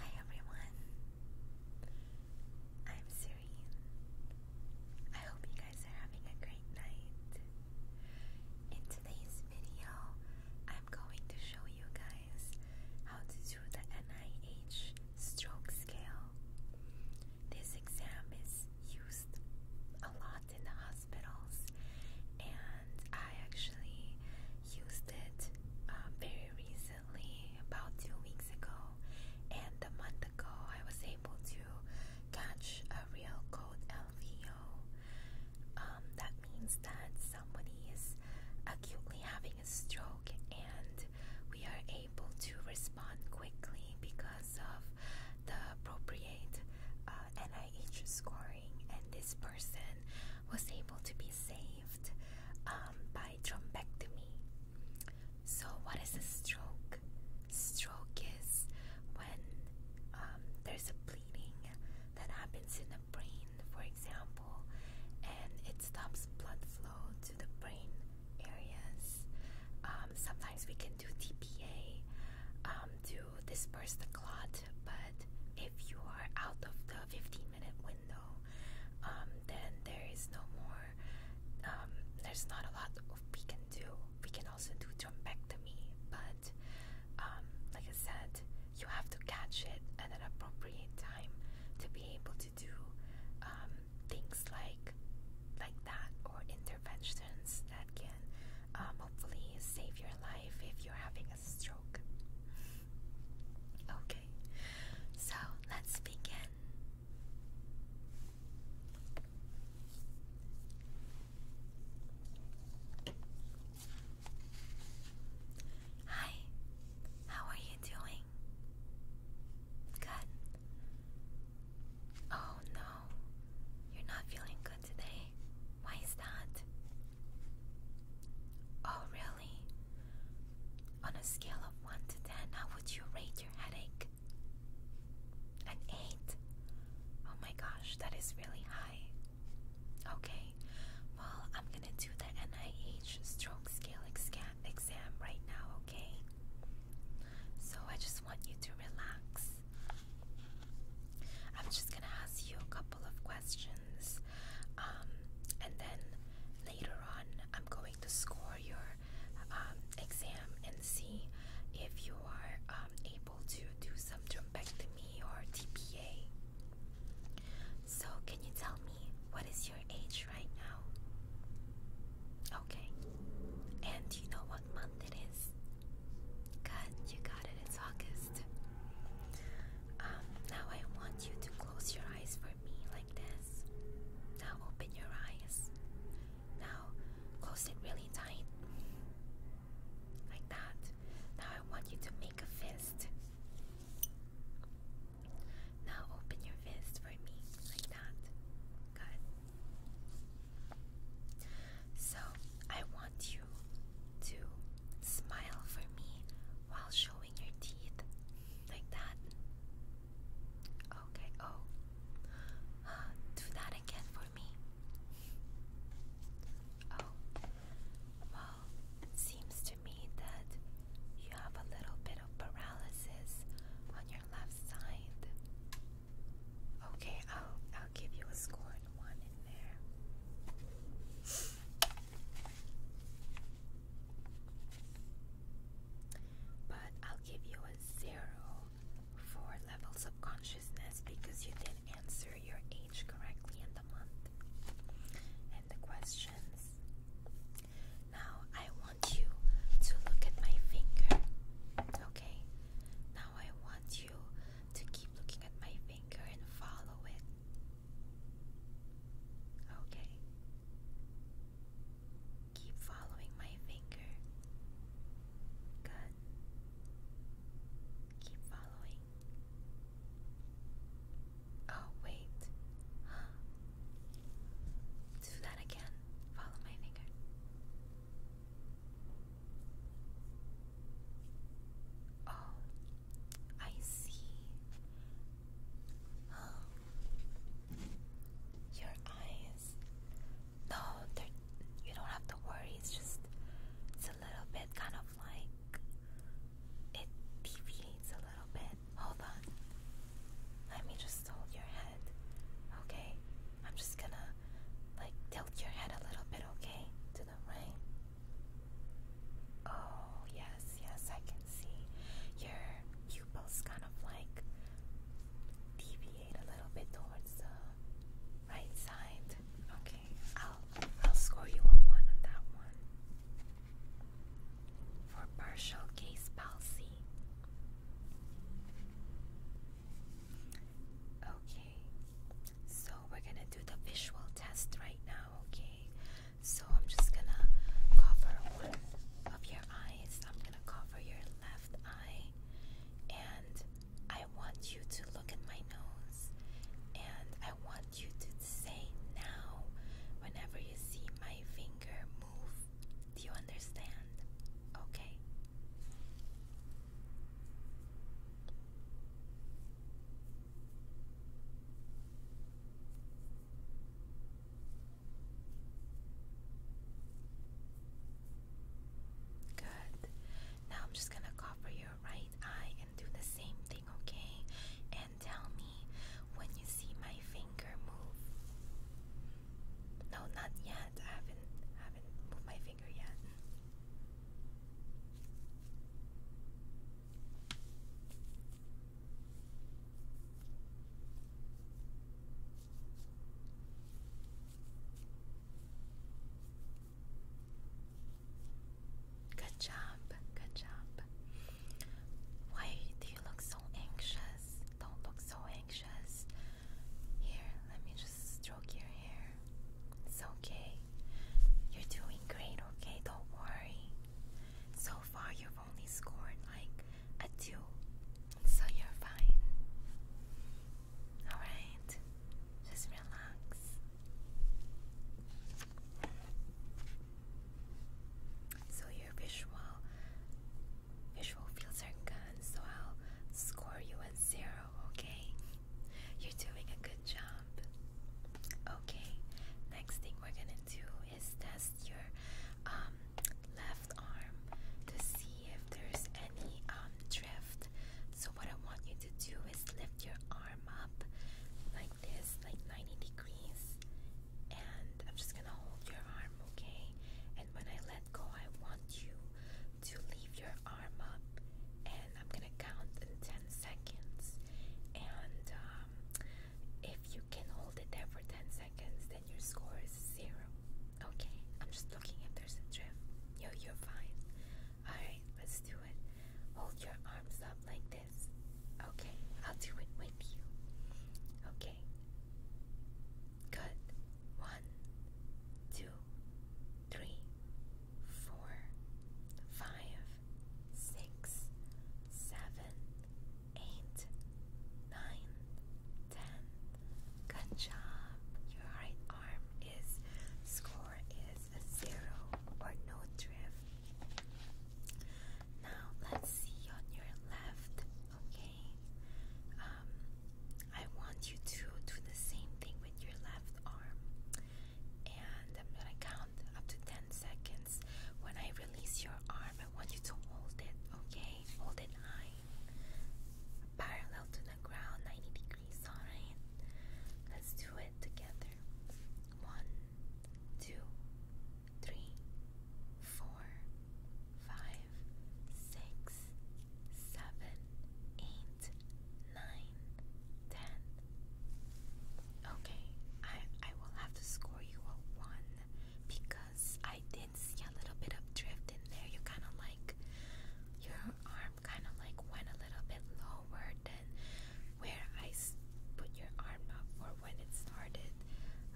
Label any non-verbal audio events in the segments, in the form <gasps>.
Hi everyone. I'm Serene. I hope you guys are having a great night. In today's video, I'm going to show you guys how to do the NIH stroke scale. This exam is used a lot in the hospital hospitals, and I actually used it uh, very recently, about two weeks ago. And a month ago, I was able to catch a real cold LVO. Um, that means that somebody is acutely having a stroke, and we are able to respond quickly because of the appropriate NIH uh, scoring, and this person was able to be saved um, by thrombectomy. So, what is a stroke? Stroke is when um, there's a bleeding that happens in the brain, for example, and it stops blood flow to the brain areas. Um, sometimes we can do TPA, um, to disperse the clot. But if you are out of the 15 minute window, um, then there is no more, um, there's not a lot we can do. We can also do thrombectomy, but like I said, you have to catch it at an appropriate time to be able to do things like like that or interventions that can um, hopefully save your life if you're having a stroke. Okay, so let's begin. Hi, how are you doing? Good. Oh no, you're not feeling good today. Why is that? Oh, really? On a scale of 1 to 10, how would you rate your headache? An 8? Oh my gosh, that is really high. Okay, well, I'm gonna do the NIH stroke scale exam right now, okay? So I just want you to relax. I'm just gonna ask you a couple of questions, um, and then later on, I'm going to score your um, exam and see if you are um, able to do some thrombectomy or TPA. So, can you tell me what is your age right now? Okay, and you know what month it is. Good, you got it, it's August. Um, now I want you to close your eyes for me like this. Now open your eyes. Now close it really tight. Like that. Now I want you to make a fist. Now open your fist for me like that. Good. So I want you to smile for me while showing your teeth like that. Okay, oh, uh, do that again for me. Oh, well, it seems to me that you have a little bit of paralysis on your left side. Okay, I'll I'll give you a score and one in there. But I'll give you a zero for levels of consciousness because you didn't answer your age correctly in the month and the questions. Now I want you to look at my finger. Okay? Now I want to keep looking at my finger and follow it. Okay. Keep following my finger. Good. Keep following. Oh, wait. <gasps> Do that again. Follow my finger. Oh, I see. <gasps> Your eyes. No, you don't have to worry. It's just it's a little bit kind of like it deviates a little bit. Hold on. Let me just hold your hand. Okay? I'm just gonna like tilt your head a little bit, okay? To the right. Oh, yes, yes, I can see your pupils kind of like deviate a little bit towards the right side. Okay, I'll I'll score you a one on that one. For partial case palsy, Okay, so we're gonna do the visual test right now, okay? So I'm just gonna cover one of your eyes. I'm gonna cover your left eye, and I want you to look at my nose, and I want you to say now whenever you see my finger move. Do you understand? Okay. Good. Now I'm just going to cover your right eye and do the same thing, okay? And tell me when you see my finger move. No, not yet. I haven't haven't moved my finger. Good job, good job. Why do you look so anxious? Don't look so anxious. Here, let me just stroke your hair. It's okay. You're doing great, okay? Don't worry. So far, you've only scored like a two, so you're fine. Alright, just relax. So, your visual Visual fields are gone, so I'll score you a zero, okay? You're doing a good job. Okay, next thing we're gonna do is test your um, left arm to see if there's any um, drift. So, what I want you to do is lift your arm up like this, like 90 degrees, and I'm just gonna hold your arm, okay? And when I let go, I want you to leave your arm up, and I'm gonna count in 10 seconds. And um, if you can hold it there for 10 seconds, then your score is zero. Okay, I'm just looking if there's a drift. Yo, you're fine. Alright, let's do it. Hold your arms up like this. Okay, I'll do it with you. Okay. Good. One, two, three, four, five, six, seven, eight, nine, ten. Good job. Your right arm is score is a zero or no drift. Now let's see on your left. Okay. Uh, um, I want you to do the same thing with your left arm. And I'm gonna count up to 10 seconds. When I release your arm, I want you to hold it, okay? Hold it high, parallel to the ground, 90 degrees, alright? Let's do it together. One, two, three, four, five, six, seven, eight, nine, ten. Okay, I I will have to score you a one because I did see a little bit of drift in there. You kind of like your arm kind of like went a little bit lower than where I put your arm up or when it started.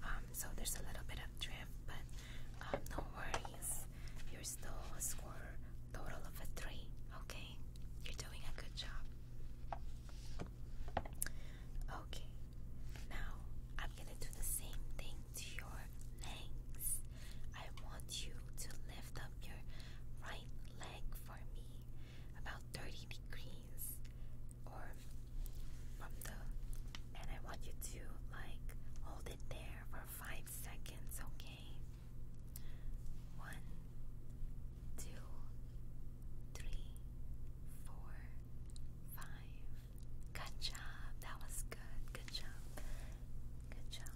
Um, so there's a little bit of drift, but uh, no worries. You're still a score total of a three. Okay, you're doing a good job. Okay, now I'm gonna do the same thing to your legs. I want you to lift up your right leg for me about 30 degrees or from the and I want you to like hold there for five seconds, okay? One, two, three, four, five. Good job. That was good. Good job. Good job.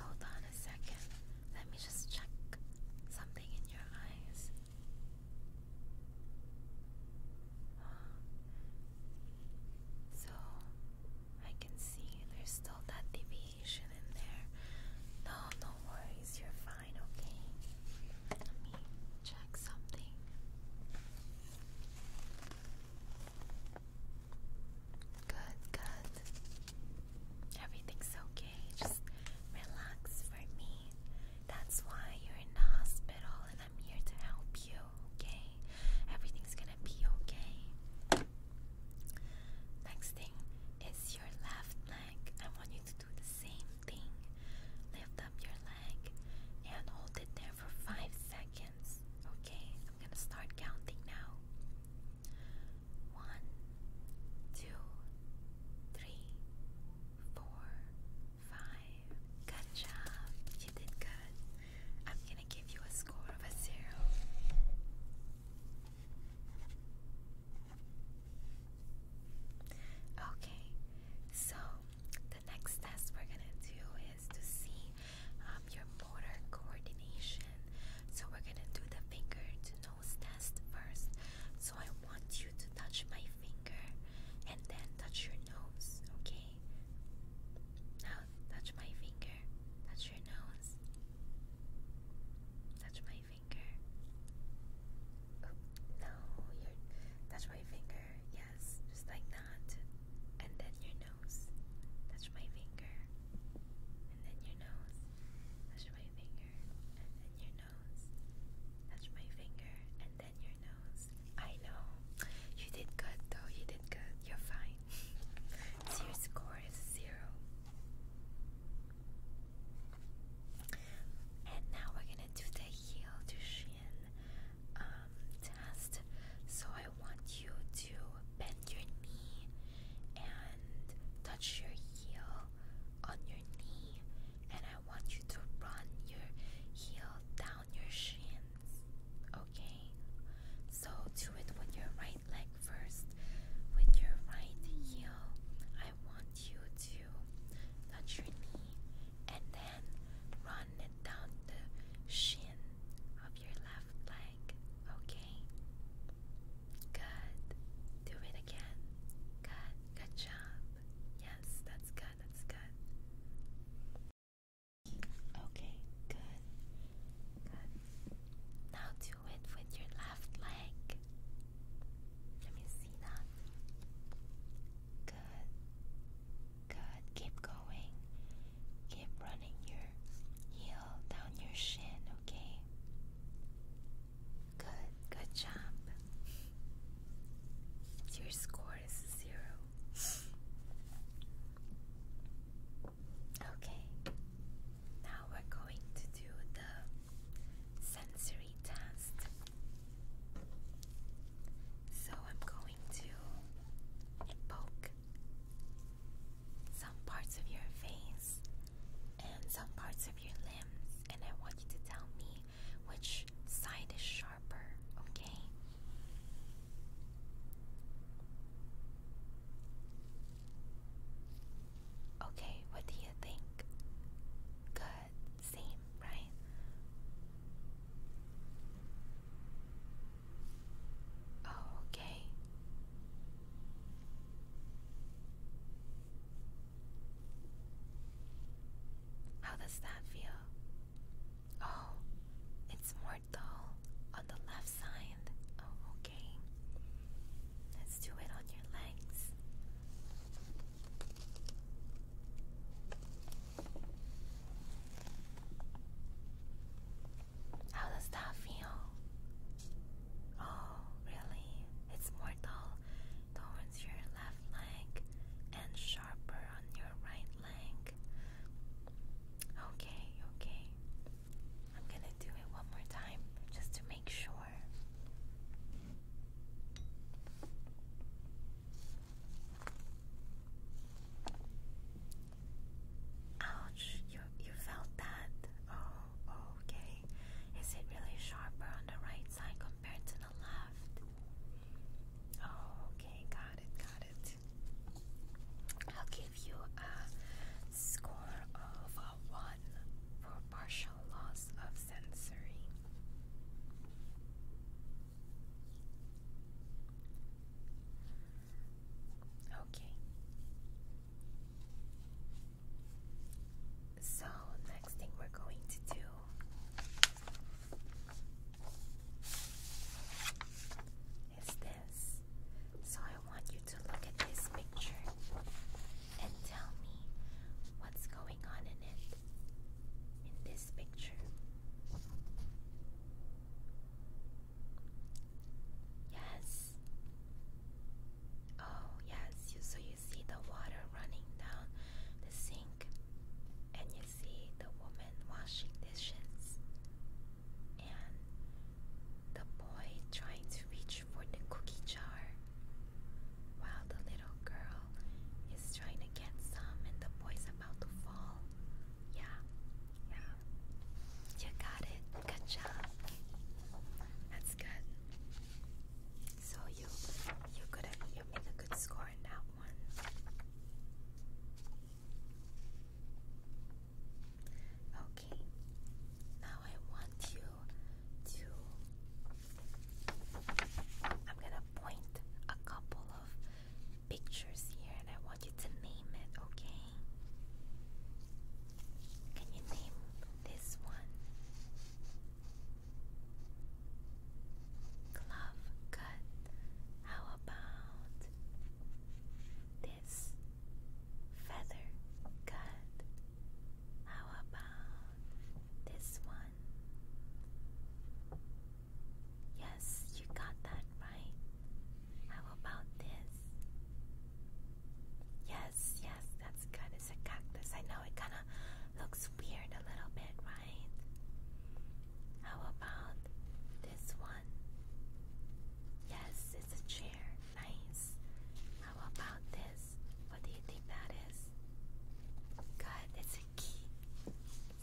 Hold on a second. Let me just check something in your eyes. So I can see there's still that deviation in there. No, no worries, you're fine, okay? Let me check something. Good, good. Everything's okay. Just relax for me. That's why you're in the hospital and I'm here to help you, okay? Everything's gonna be okay. Next thing is your left leg. I want you to do the same thing. Lift up your leg and hold it there for five seconds, okay? I'm gonna start counting now. One, two, three, four, Five. Good job. You did good. I'm gonna give you a score of a zero. Okay, so the next test we're gonna do is to see um, your motor coordination. So we're gonna do the finger to nose test first. So I want you to touch my finger and then touch your nose, okay? Now touch my finger, touch your nose, touch my finger. Oh, no, your touch my finger, yes, just like that. And then your nose, touch my finger, and then your nose, touch my finger, and then your nose, touch my finger, your nose. I know. You did good though. You did good. You're fine. <laughs> so your score is zero. And now we're gonna do the heel to shin um, test. So I want you to bend your knee and touch your heel on your knee, I want you to run your heel down your shins. Okay? So do it with your right leg first. With your right heel, I want you to touch your knee and then run it down the shin of your left leg. Okay? Good. Do it again. Good. Good job. Yes, that's good, that's good. Okay, good. Good. Now do it with your left leg. Let me see that. Good. Good. Keep going. Keep running your heel down your shin, okay? Good, good job. Your score is zero. Okay, now we're going to do the sensory test. So I'm going to poke some parts of your face and some parts of your limbs, and I want you to tell me which side is sharper, okay? Okay, what do you think? Good, same, right? Oh, okay. How does that feel? Oh, it's more dull on the left side. Oh, okay. Let's do it on your legs. How does that feel? Oh, really? It's more dull towards your left leg and sharper on your right leg. Okay, okay. I'm gonna do it one more time just to make sure. Ouch, you you felt that. Oh, okay. Is it really sharper on the right side compared to left. okay, got it, got it. I'll give you a score of a 1 for partial loss of sensory. Okay. So, next thing we're going to do is this. So, I want you to look at this picture and tell me what's going on in it. In this picture. Yes. Oh, yes. So you you see the water running down the sink, and you see the woman washing dishes, and the boy trying to reach for the cookie jar, while the little girl is trying to get some, and the boy's about to fall. Yeah, yeah. You got it. Good job. That's good. So you you could you a good score in that one. Okay. Now I want you to I'm gonna point a couple of pictures here and I want you to name it, okay? Can you name this one? Glove cut. How about this? Feather cut. How about this one? Yes, you got that right. How about this? Yes, yes, that's good. It's a cactus. I know it kind <laughs> looks weird a little bit, right? How about this one? Yes, it's a chair. Nice. How about this? What do you think that is? Good, it's a key.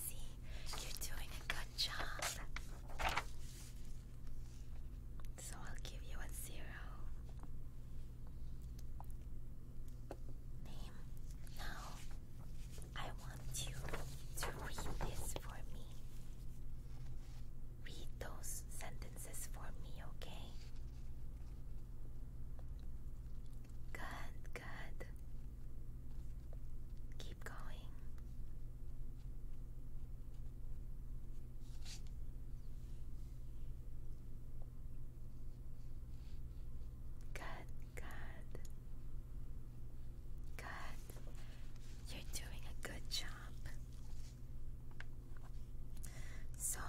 See, you're doing a good job. So I'll give you a zero. Name, now I want you to read this for me. Read those sentences for me, okay? Good, good. Keep going. Good, good. Good. You're doing a good job. So,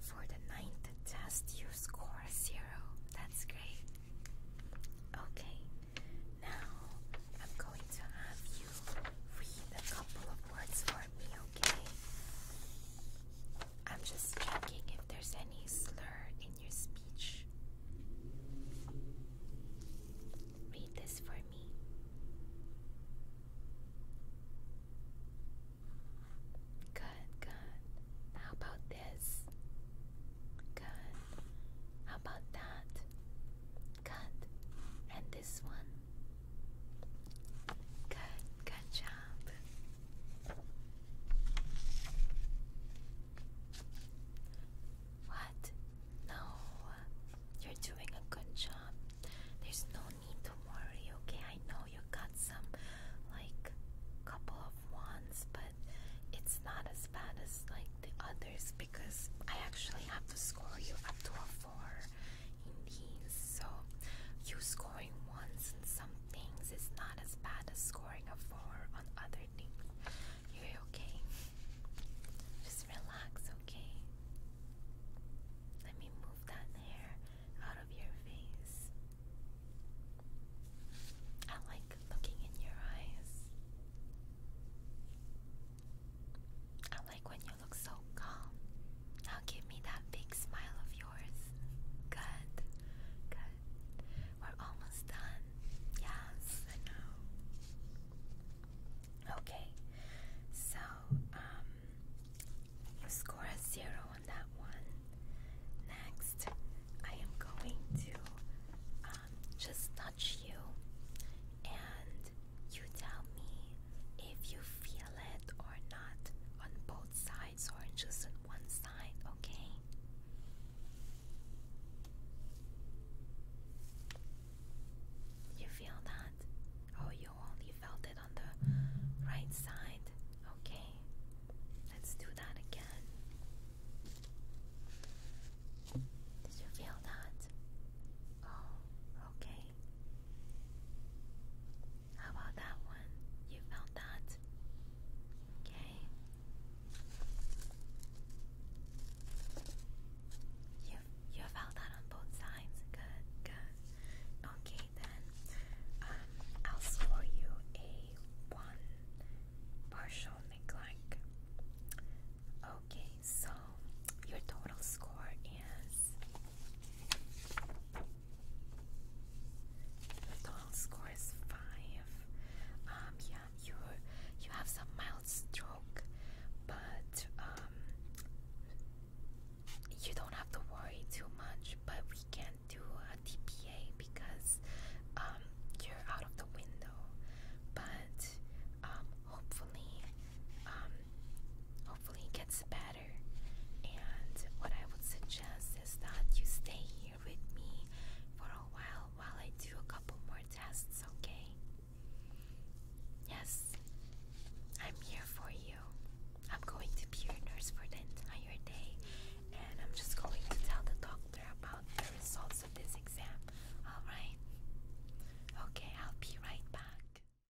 for the ninth test, you score zero. That's great. Okay, now I'm going to have you read a couple of words for me, okay? I'm just checking if there's any slur in your speech. Read this for me. Good, good. How about this? Good. How about that? Good. And this one? Good, good job. What? No, you're doing a good job. There's no need to worry, okay? I know you got some, like, couple of wands, but it's not as bad as, like, the others because I actually have to score you up to a four in these. So, you scoring once and some things is not as bad as scoring a four on other things. You're okay. Just relax, okay? Let me move that hair out of your face. I like looking in your eyes. I like when you you look so calm. Now give me that big smile of yours. Good. Good. We're almost done. Yes, I know. Okay. So, you um, score a zero on that one. Next, I am going to um, just touch you and you tell me if you feel or not on both sides or just on one side, okay? You feel that? Oh, you only felt it on the right side. Okay, let's do that again. Did you feel that? Oh, okay. How about that one? You felt that? Okay. You you felt that on both sides. Good, good. Okay then. Um, I'll score you a one partial neglect. Okay, so your total score is the total score is five. Um, yeah, you you have some mild stroke, but um, you don't have to worry too much. But we can't do a TPA because um, you're out of the window. But um, hopefully, um, hopefully it gets better. And what I would suggest is that you stay here with me for a while while I do a couple more tests, okay? Yes, I'm here for you. I'm going to be your nurse for the entire day, and I'm just going to tell the doctor about the results of this exam, alright? Okay, I'll be right back.